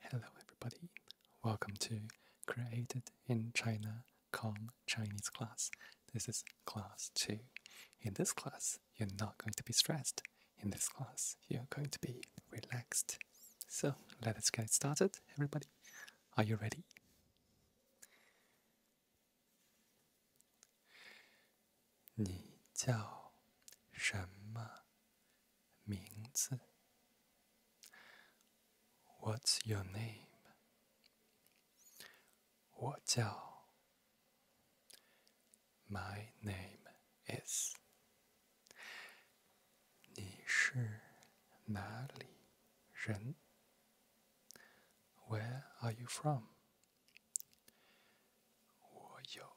Hello everybody, welcome to Created in China Com Chinese class. This is class 2. In this class, you're not going to be stressed. In this class, you're going to be relaxed. So let us get started, everybody. Are you ready? Ni 名字，What's your name？我叫，My name is。你是哪里人？Where are you from？我有。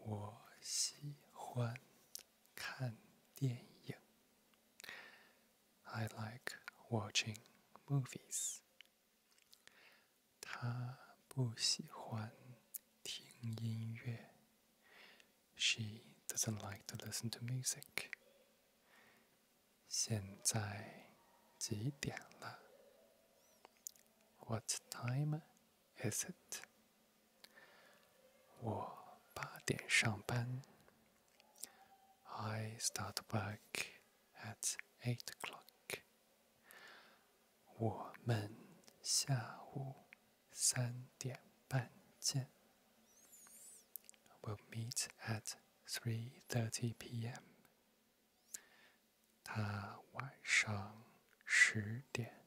我喜欢看电影。I like watching movies. 她不喜欢听音乐。She doesn't like to listen to music. 现在几点了？What time is visit. I start work at eight o'clock. we will meet at three thirty p.m. 他晚上十点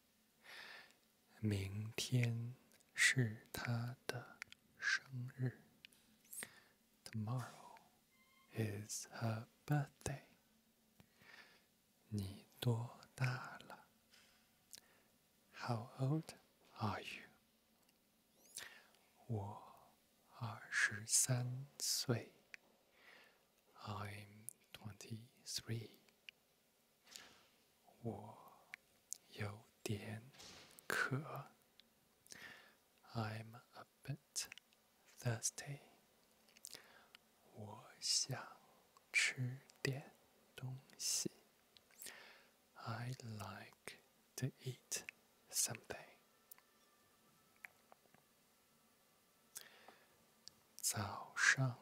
明天是他的生日。Tomorrow is her birthday。你多大了？How old are you？我二十三岁。I'm 23. i am a bit thirsty. i 我想吃点东西。I like to eat something. 早上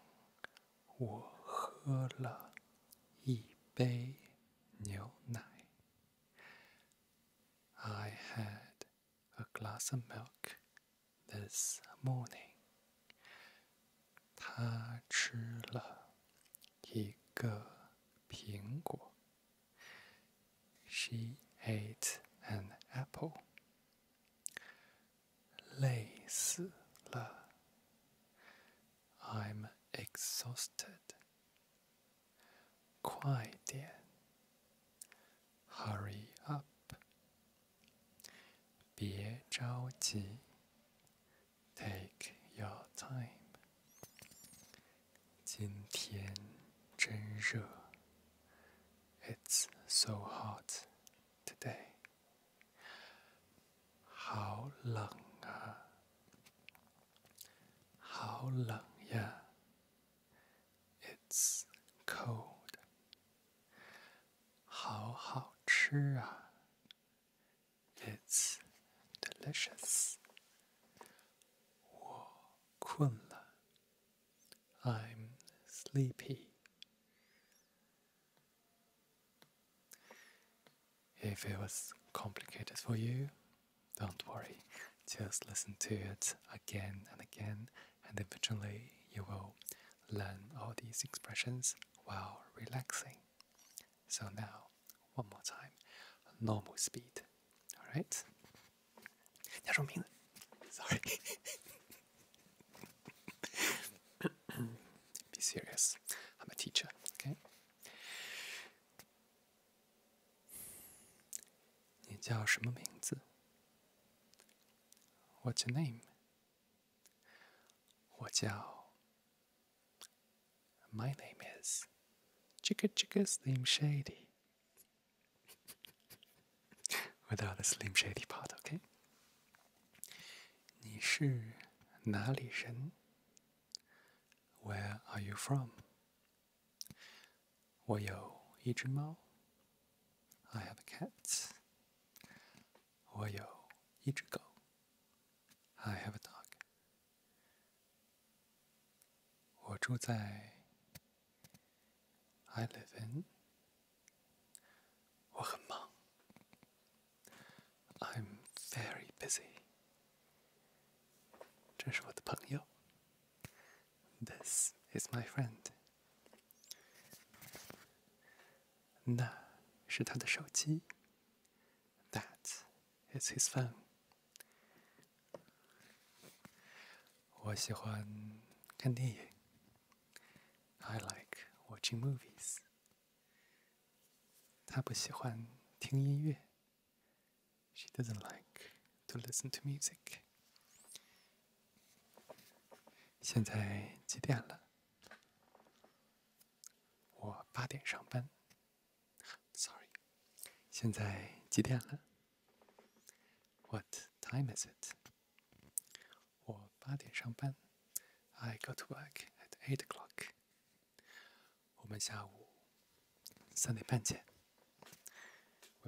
我喝了一杯牛奶。I had a glass of milk this morning. 他吃了一个苹果。She ate an apple. 累死了。I'm exhausted. 快点。Hurry up. 别着急。Take your time. 今天真热。It's so hot today. 好冷啊！好冷呀！It's cold。好好吃啊！It's delicious。我困了，I'm sleepy. If it was complicated for you, don't worry. Just listen to it again and again, and eventually you will learn all these expressions while relaxing. So now, one more time, normal speed. All right? 叫什么名字？Sorry. Be serious. I'm a teacher. Okay. 你叫什么名字？What's your name? What's 我叫。My name is Chicka Chicka Slim Shady. Without the Slim Shady part, okay? 你是哪里人? Where are you from? 我有一只猫. I have a cat. 我有一只狗. I have a dog. 我住在 I live in Wuchemang. I'm very busy. 这是我的朋友. This is my friend. 那是他的手机. That is his phone. 我喜欢看电影。I like watching movies。她不喜欢听音乐。She doesn't like to listen to music。现在几点了？我八点上班。Sorry。现在几点了？What time is it? 我八点上班，I go to work at eight o'clock. We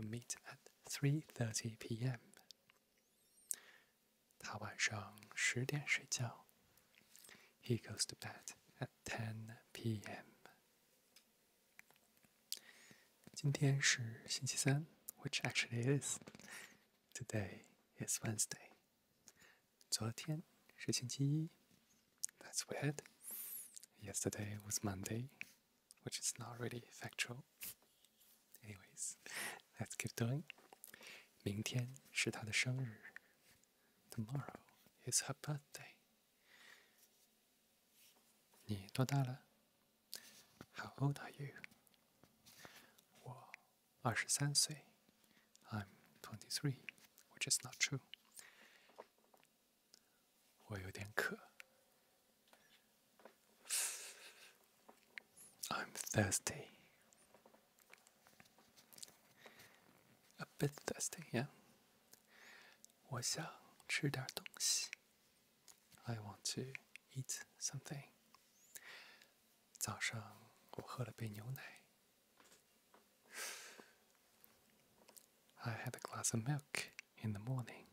meet at three thirty p.m. He goes to bed at ten p.m which actually is today is Wednesday。昨天是星期一，that's Yesterday was Monday, which is not really factual. Anyways, let's keep doing. Tomorrow is her birthday. birthday。你多大了？how old are you? i am twenty-three, which is not true. i am thirsty. A bit thirsty, yeah. 我想吃点东西。I want to eat something. 早上我喝了杯牛奶。I had a glass of milk in the morning.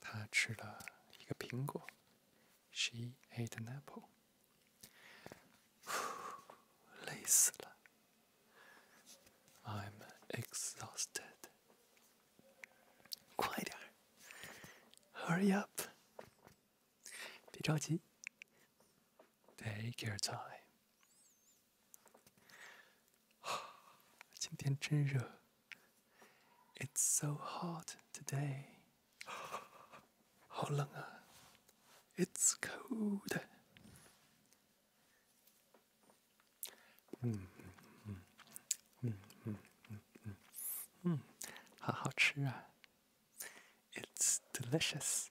她吃了一个苹果。She ate an apple. I'm exhausted. Hurry exhausted. 快点，Hurry Take your time. It's so hot It's cold。嗯嗯嗯嗯嗯嗯，好好吃啊！It's delicious。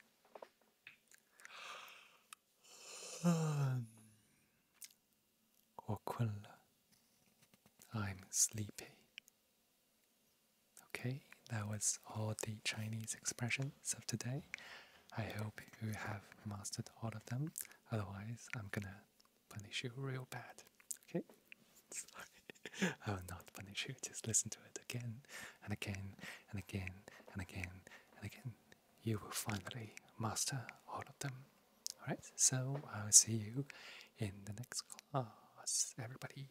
嗯，我困了。I'm sleepy. Okay, that was all the Chinese expressions questions of today. I hope you have mastered all of them. Otherwise, I'm gonna punish you real bad. Okay? Sorry. I will not punish you. Just listen to it again and again and again and again and again. You will finally master all of them. Alright, so I'll see you in the next class, everybody.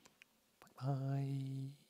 Bye bye.